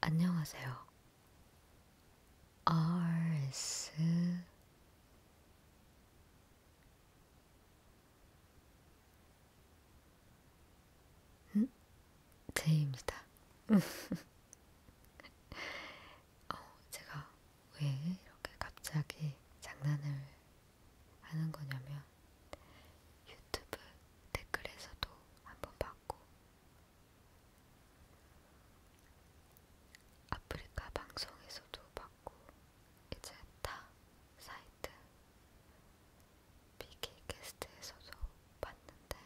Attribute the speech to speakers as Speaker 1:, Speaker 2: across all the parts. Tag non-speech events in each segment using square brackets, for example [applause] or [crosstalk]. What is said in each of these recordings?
Speaker 1: 안녕하세요. RS 음? 제입니다. [laughs] 어, 제가 왜 이렇게 갑자기 장난을 하는 거냐면 유튜브 댓글에서도 한번 봤고 아프리카 방송에서도 봤고 이제 타 사이트 비키 게스트에서도 봤는데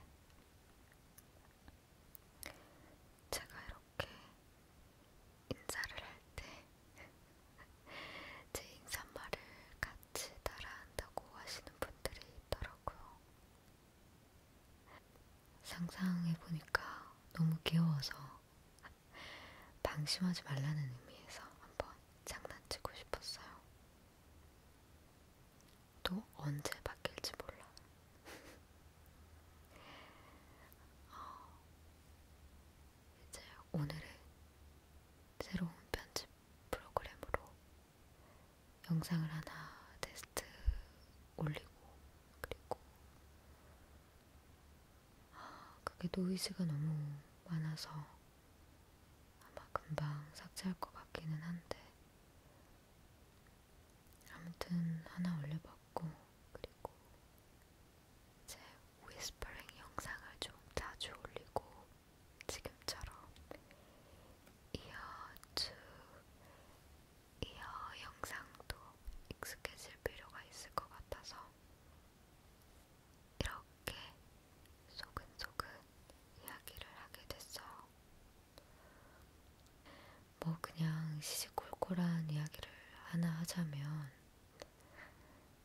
Speaker 1: 제가 이렇게 인사를 할 때 [laughs] 제 인사말을 갓 같이 따라한다고 하시는 분들이 있더라고요. 상상해보니까 너무 귀여워서 방심하지 말라는 의미에서 한번 장난치고 싶었어요. 또 언제 바뀔지 몰라. [laughs] 어, 이제 오늘의 새로운 편집 프로그램으로 영상을 하나 테스트 올리고 그리고 아, 그게 노이즈가 너무 많아서 아마 금방 삭제할 것 같기는 한데 아무튼 하나 올려봤고 그리고 제 위스퍼링 영상을 좀 자주 올리고 지금처럼 이어 주 이어 영상도 익숙해질 필요가 있을 것 같아서 이렇게 소근소근 이야기를 하게 됐어요. 뭐 그냥 시시콜콜한 이야기를 하나 하자면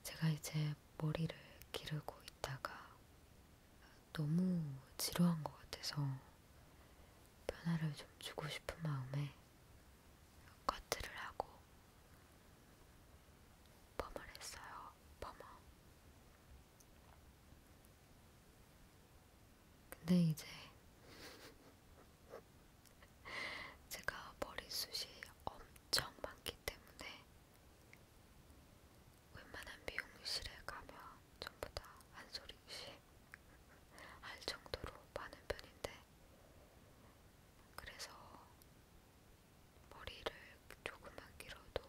Speaker 1: 제가 이제 머리를 기르고 있다가 너무 지루한 것 같아서 변화를 좀 주고 싶은 마음에 커트를 하고 펌을 했어요. 펌어. 근데 이제 [laughs] 제가 머리숱이 엄청 많기 때문에 웬만한 미용실에 가면 전부 다 한소리씩 할 정도로 많은 편인데 그래서 머리를 조금만 길어도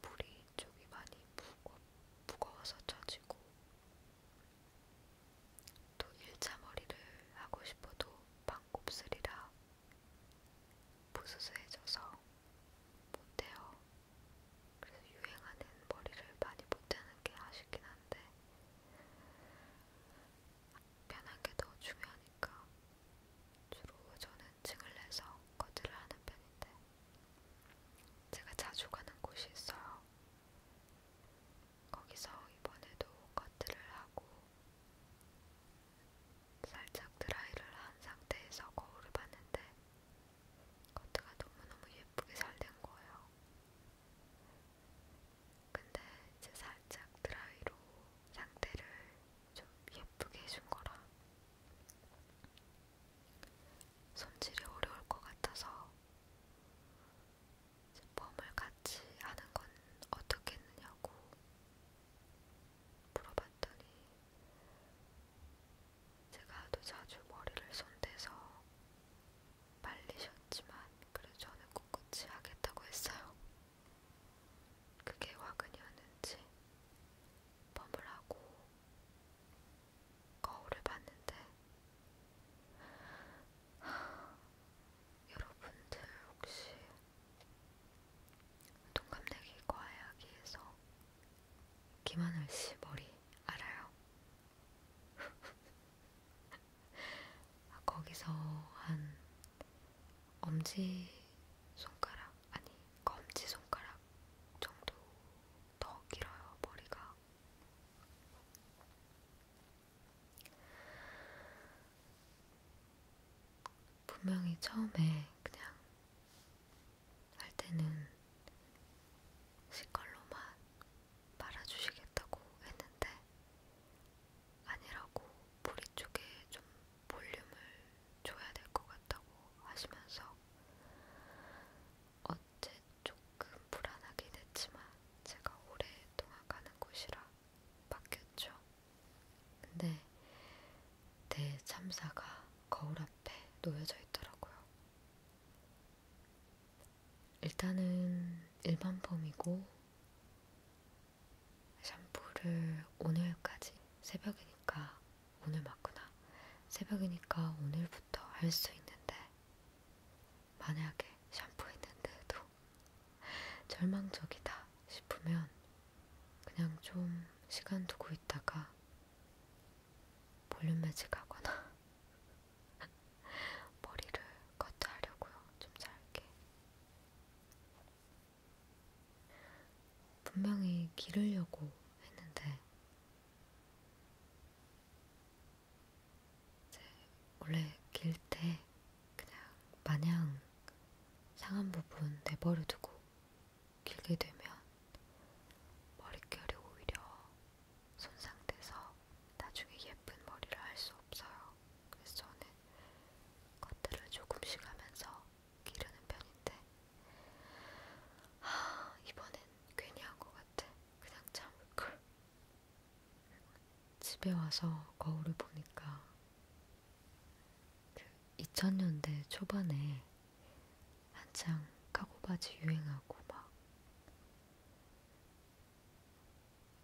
Speaker 1: 뿌리 쪽이 많이 무거, 무거워서 젖지고 또 일자 머리를 하고 싶어도 반곱슬이라 부스스해져서 못해요. 그래서 유행하는 머리를 많이 못하는 게 아쉽긴 한데 편한 게 더 중요하니까 주로 저는 증을 내서 커트를 하는 편인데 제가 자주 가는 곳이 있어요. 거기서 이번에도 커트를 하고 살짝 드라이를 한 상태에서 거울을 봤는데 커트가 너무너무 예쁘게 잘 된 거예요. 근데 이제 살짝 드라이로 상태를 좀 예쁘게 해준 거라 손질이 어려울 것 같아서 펌을 같이 하는 건 어떻겠느냐고 물어봤더니 제가 하도 자주 머리를 손대서 말리셨지만 그래 저는 꿋꿋이 하겠다고 했어요. 그게 화근이었는지 펌을 하고 거울을 봤는데 하, 여러분들 혹시 동갑내기 과외하기에서 김하늘씨 머리 알아요? [laughs] 아, 거기서 한 엄지 손가락 아니 검지 손가락 정도 더 길어요 머리가 분명히 처음에 그냥 할 때는 시컬로만 말아주시겠다고 했는데 아니라고 뿌리 쪽에 좀 볼륨을 줘야 될 것 같다고 하시면서 어제 조금 불안하긴 했지만 제가 오랫동안 가는 곳이라 바뀌었죠. 근데 내 참사가 거울 앞에 놓여져 있더라고요. 일단은 일반 펌이고 샴푸를 오늘까지 새벽이니까 오늘 맞구나. 새벽이니까 오늘부터 할 수 있는데 만약에 샴푸했는데도 절망적이다 싶으면 그냥 좀 시간 두고 있다가 볼륨 매직하거나 [laughs] 머리를 커트하려고요. 좀 짧게. 분명히 기르려고 했는데 이제 원래 길때 그냥 마냥 상한 부분 내버려 두고 길게 되면 머릿결이 오히려 손상돼서 나중에 예쁜 머리를 할 수 없어요. 그래서 저는 겉들을 조금씩 하면서 기르는 편인데 하, 이번엔 괜히 한 것 같아. 그냥 참을걸. 집에 와서 거울을 보니까 그 2000년대 초반에 한창 카고바지 유행하고 막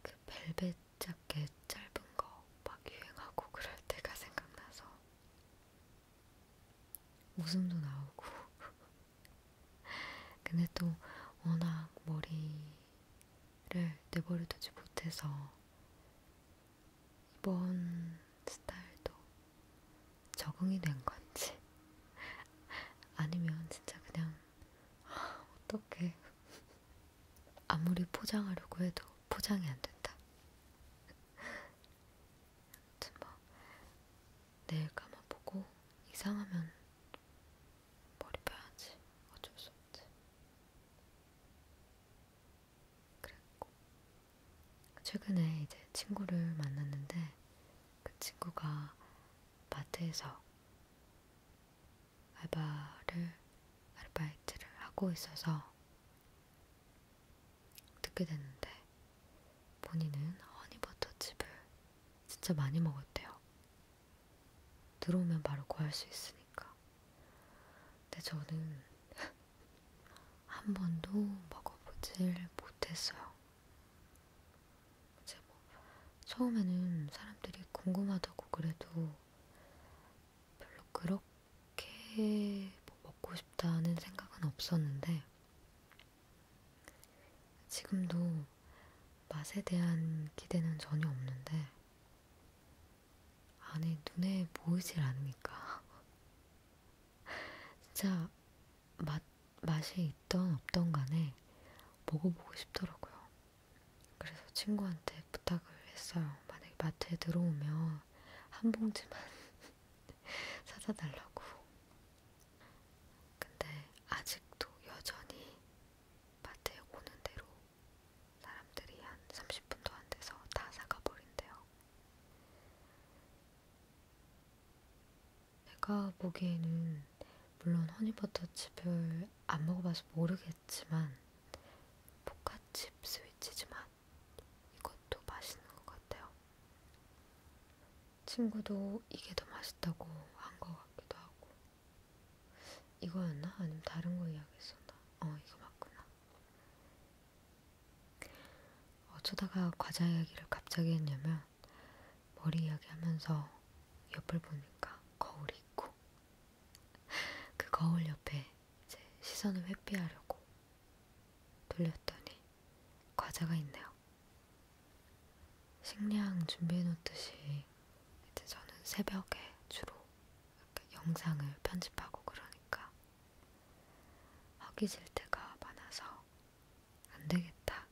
Speaker 1: 그 벨벳 자켓 짧은 거 막 유행하고 그럴 때가 생각나서 웃음도 나오고 [laughs] 근데 또 워낙 머리 내버려두지 못해서 이번 스타일도 적응이 된 건지 [laughs] 아니면 진짜 그냥 어떻게 아무리 포장하려고 해도 포장이 안 된다. 아무튼 뭐 내일 감아보고 이상하면 머리 펴야지. 어쩔 수 없지. 그랬고. 최근에 이제 친구를 만났는데 그 친구가 마트에서 알바를, 아르바이트를 하고 있어서 듣게 됐는데 본인은 허니버터칩을 진짜 많이 먹었대요. 들어오면 바로 구할 수 있으니까. 근데 저는 [laughs] 한 번도 먹어보질 못했어요. 이제 뭐 처음에는 사람들이 궁금하다고 그래도 별로 그렇게 뭐 먹고 싶다는 생각은 없었는데 지금도 맛에 대한 기대는 전혀 없는데 아니 눈에 보이질 않으니까 [laughs] 진짜 맛, 맛이 있던 없던 간에 먹어보고 싶더라고요. 그래서 친구한테 부탁을 했어요. 만약에 마트에 들어오면 한 봉지만 [laughs] 사다 달라고. 근데 아직도 여전히 마트에 오는 대로 사람들이 한 30분도 안 돼서 다 사가버린대요. 내가 보기에는 물론 허니버터칩을 안 먹어봐서 모르겠지만 포카칩 스위치즈 맛 이것도 맛있는 것 같아요. 친구도 이게 더 맛있다고 한 것 같기도 하고 이거였나? 아니면 다른 거 이야기했었나? 어, 이거 맞구나. 어쩌다가 과자 이야기를 갑자기 했냐면 머리 이야기하면서 옆을 보니까 거울이 있고 [laughs] 그 거울 옆에 이제 시선을 회피하려고 돌렸더니 과자가 있네요. 식량 준비해놓듯이 이제 저는 새벽에 주로 영상을 편집하고 그러니까 하기 싫대가 많아서 안 되겠다.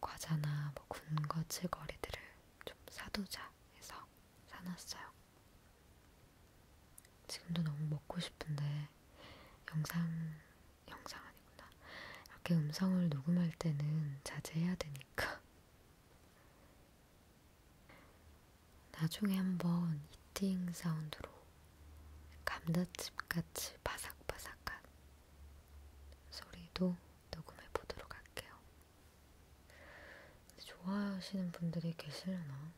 Speaker 1: 과자나 뭐 군것질거리들을 좀 사두자 해서 사놨어요. 지금도 너무 먹고 싶은데 영상 영상 아니구나. 이렇게 음성을 녹음할 때는 자제해야 되니까 나중에 한번 이팅 사운드로 감자칩같이 바삭바삭한 소리도 녹음해 보도록 할게요. 좋아하시는 분들이 계시려나?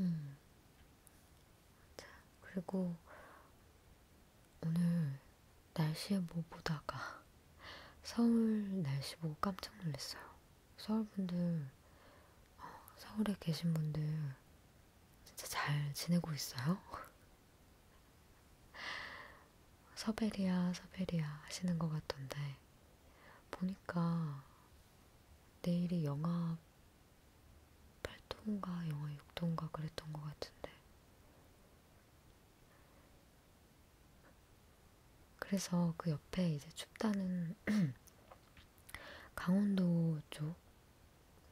Speaker 1: 음, 자, 그리고 오늘 날씨에 뭐 보다가 서울 날씨 보고 깜짝 놀랐어요. 서울 분들, 어, 서울에 계신 분들 진짜 잘 지내고 있어요? 서베리아, [laughs] 서베리아 하시는 것 같던데 보니까 내일이 영하 8도인가 영하 6도인가 그랬던 것 같은데. 그래서 그 옆에 이제 춥다는 [clears throat] 강원도 쪽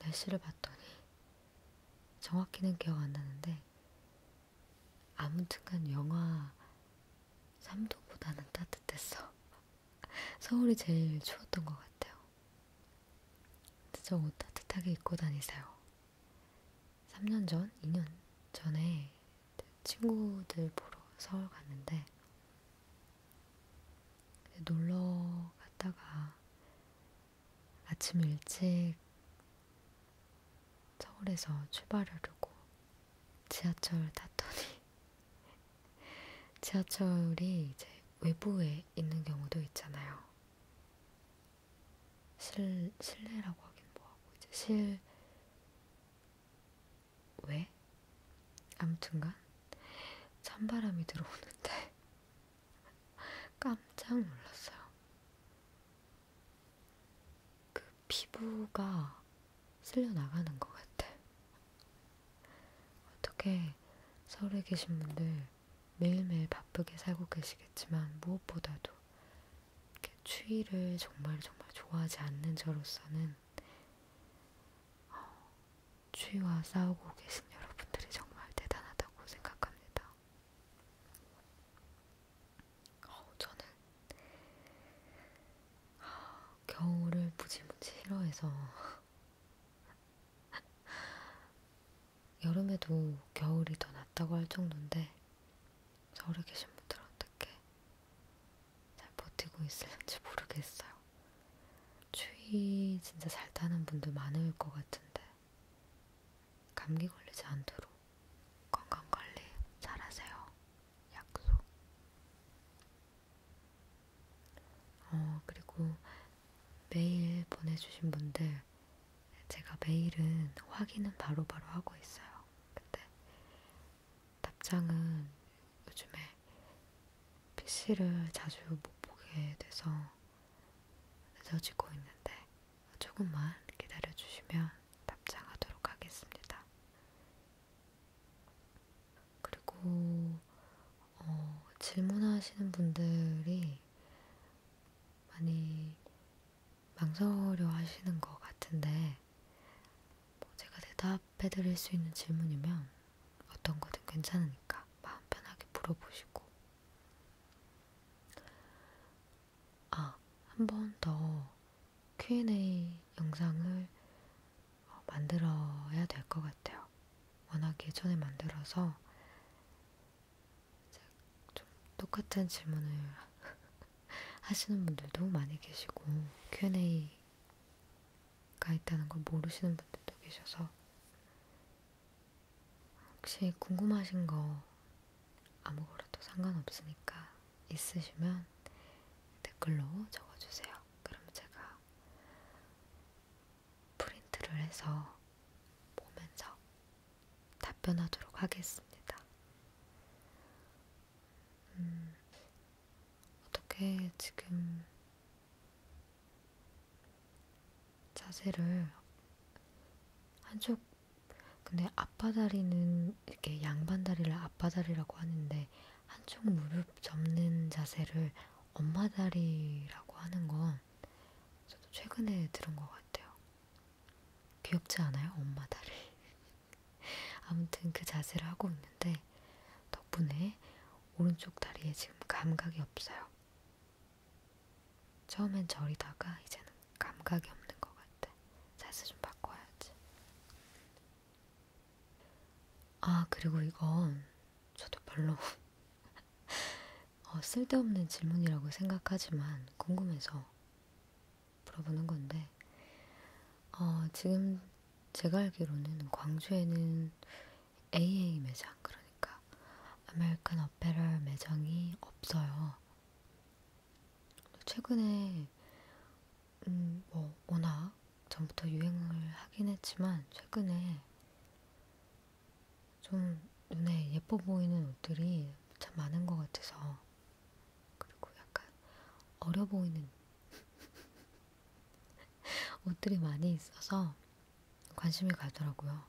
Speaker 1: 날씨를 봤더니 정확히는 기억 안 나는데 아무튼간 영하 3도보다는 따뜻했어. 서울이 제일 추웠던 것 같아요. 진짜 옷 따뜻하게 입고 다니세요. 3년 전, 2년 전에 친구들 보러 서울 갔는데 놀러 갔다가 아침 일찍 서울에서 출발하려고 지하철 탔더니 지하철이 이제 외부에 있는 경우도 있잖아요. 실, 실내라고 하긴 뭐하고, 이제 실, 왜? 암튼간, 찬바람이 들어오는데, [laughs] 깜짝 놀랐어요. 그 피부가 쓸려나가는 것 같아. 어떻게 서울에 계신 분들 매일매일 바쁘게 살고 계시겠지만 무엇보다도 이렇게 추위를 정말 정말 좋아하지 않는 저로서는 어, 추위와 싸우고 계신 여러분들이 정말 대단하다고 생각합니다. 어, 저는 어, 겨울을 무지무지 싫어해서 여름에도 겨울이 더 낫다고 할 정도인데 서울에 계신 분들은 어떻게 잘 버티고 있을지 모르겠어요. 추위 진짜 잘 타는 분들 많을 것 같은데 감기 걸리지 않도록 건강관리 잘하세요. 약속. 어, 그리고 메일 보내주신 분들, 제가 메일은 확인은 바로바로 바로 하고 있어요. 근데 답장은 요즘에 PC를 자주 못 보게 돼서 늦어지고 있는데 조금만 기다려주시면 답장하도록 하겠습니다. 그리고 어, 질문하시는 분들이 많이 망설여 하시는 것 같은데, 뭐 제가 대답해 드릴 수 있는 질문이면 어떤 거든 괜찮으니까 마음 편하게 물어보시고, 아, 한 번 더 Q&A 영상을 만들어야 될 것 같아요. 워낙 예전에 만들어서 좀 똑같은 질문을 [laughs] 하시는 분들도 많이 계시고 Q&A가 있다는 걸 모르시는 분들도 계셔서 혹시 궁금하신 거 아무거라도 상관없으니까 있으시면 댓글로 적어주세요. 그럼 제가 프린트를 해서 보면서 답변하도록 하겠습니다. 음, 어떻게 지금 자세를 한쪽 근데 앞바다리는 이렇게 양반다리를 앞바다리라고 하는데 한쪽 무릎 접는 자세를 엄마다리라고 하는 건 저도 최근에 들은 것 같아요. 귀엽지 않아요? 엄마다리. [laughs] 아무튼 그 자세를 하고 있는데 덕분에 오른쪽 다리에 지금 감각이 없어요. 처음엔 저리다가 이제는 감각이 없는 것 같아. 자세 좀 바꿔야지. 아, 그리고 이건 저도 별로 [laughs] 어, 쓸데없는 질문이라고 생각하지만 궁금해서 물어보는 건데, 어, 지금 제가 알기로는 광주에는 AA 매장, 그러니까 아메리칸 어페럴 매장이 없어요. 최근에 음, 뭐 워낙 전부터 유행을 하긴 했지만 최근에 좀 눈에 예뻐 보이는 옷들이 참 많은 것 같아서 그리고 약간 어려 보이는 [laughs] 옷들이 많이 있어서 관심이 가더라고요.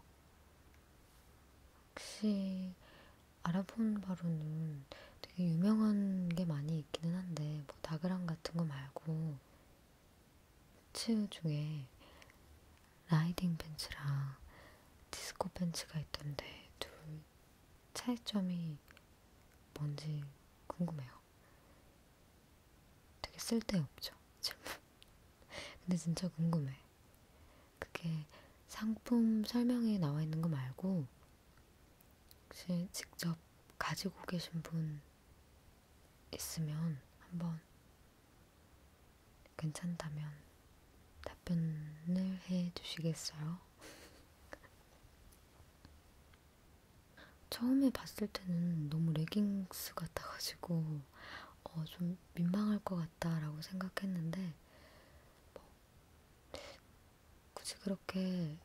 Speaker 1: 혹시 알아본 바로는 되게 유명한 게 많이 있기는 한데 뭐 다그랑 같은 거 말고 부츠 중에 라이딩 벤츠랑 디스코 벤츠가 있던데 둘 차이점이 뭔지 궁금해요. 되게 쓸데없죠, 질문. [laughs] 근데 진짜 궁금해. 그게 상품 설명에 나와 있는 거 말고 혹시 직접 가지고 계신 분 있으면 한번 괜찮다면 답변을 해 주시겠어요? [laughs] 처음에 봤을 때는 너무 레깅스 같아가지고 어, 좀 민망할 것 같다라고 생각했는데 뭐 굳이 그렇게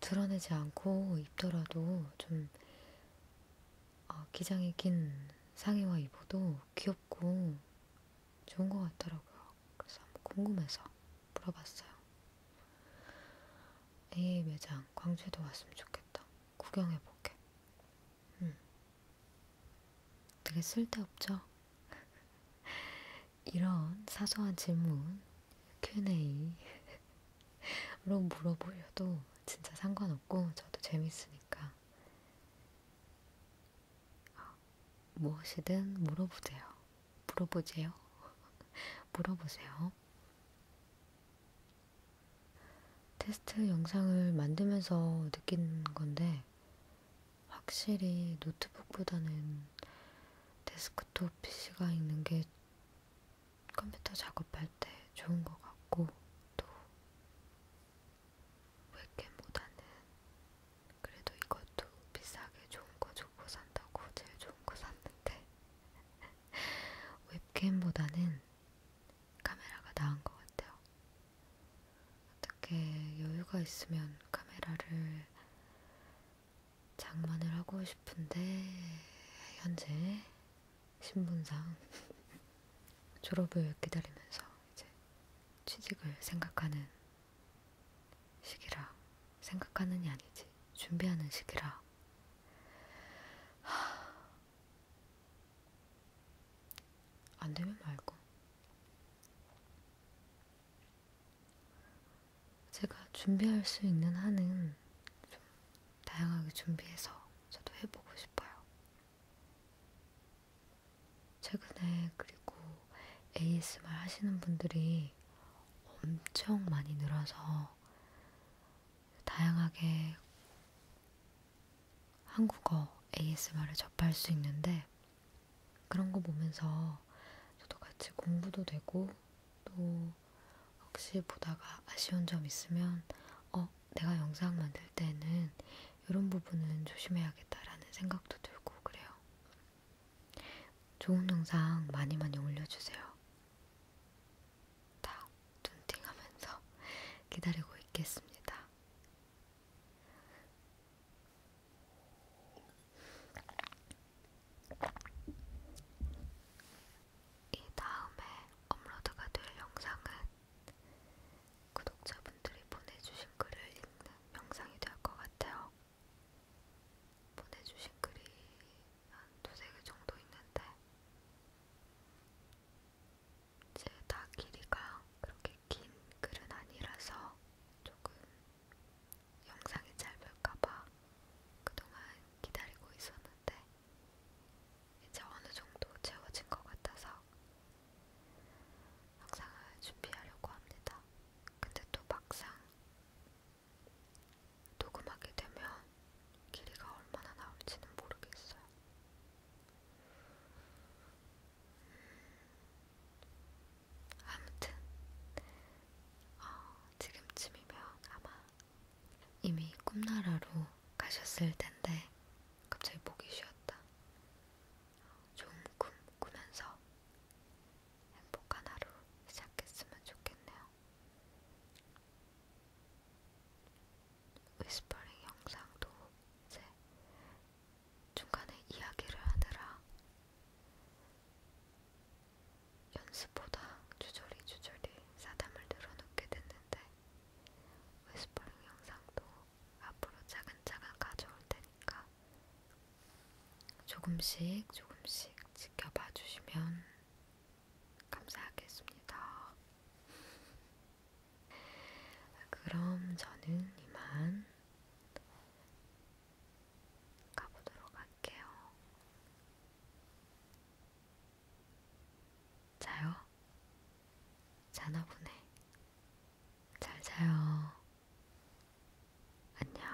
Speaker 1: 드러내지 않고 입더라도 좀 아, 기장에 낀 상의와 입어도 귀엽고 좋은 것 같더라고요. 그래서 한번 궁금해서 물어봤어요. AA 매장 광주에도 왔으면 좋겠다. 구경해볼게. 음. 되게 쓸데없죠? [laughs] 이런 사소한 질문, Q&A로 [laughs] 물어보셔도 진짜 상관없고 저도 재밌으니까 어, 무엇이든 물어보세요. 물어보세요. [laughs] 물어보세요. 테스트 영상을 만들면서 느낀 건데 확실히 노트북보다는 데스크톱 PC가 있는 게 컴퓨터 작업할 때 좋은 것 같고, 또, 웹캠보다는 그래도 이것도 비싸게 좋은 거 주고 산다고 제일 좋은 거 샀는데, [laughs] 웹캠보다는 카메라가 나은 것 같아요. 어떻게 여유가 있으면 카메라를 장만을 하고 싶은데 현재 신분상 졸업을 기다리면서 이제 취직을 생각하는 시기라 생각하는이 아니지 준비하는 시기라 하... 안 되면 말고 제가 준비할 수 있는 한은 좀 다양하게 준비해서 저도 해보고 싶어요. 최근에 그리고 ASMR 하시는 분들이 엄청 많이 늘어서 다양하게 한국어 ASMR을 접할 수 있는데 그런 거 보면서 저도 같이 공부도 되고 또 혹시 보다가 아쉬운 점 있으면 어 내가 영상 만들 때는 이런 부분은 조심해야겠다라는 생각도 들고 그래요. 좋은 영상 많이 많이 올려주세요. 다 눈팅하면서 [laughs] 기다리고 있겠습니다. 이 다음에 업로드가 될 영상은 구독자분들이 보내주신 글을 읽는 영상이 될 것 같아요. 보내주신 글이 한 두 세 개 정도 있는데 제다 길이가 그렇게 긴 글은 아니라서 조금 영상이 짧을까봐 그동안 기다리고 있었는데 이제 어느 정도 채워진 것 같아서 영상을 준비하려고 합니다. 근데 또 막상 녹음하게 되면 길이가 얼마나 나올지는 모르겠어요. 아무튼 어, 지금쯤이면 아마 이미 꿈나라로 가셨을 텐데 갑자기 목이 쉬었다. 좋은 꿈 꾸면서 행복한 하루 시작했으면 좋겠네요. 위스퍼링 영상도 이제 중간에 이야기를 하느라 연습보다 주저리 주저리 사담을 늘어놓게 됐는데 웨스퍼링 영상도 앞으로 차근차근 가져올 테니까 조금씩 조금씩 지켜봐 주시면 감사하겠습니다. 그럼 저는 이만 가보도록 할게요. 자요? 자나 보네. 잘 자요. 안녕.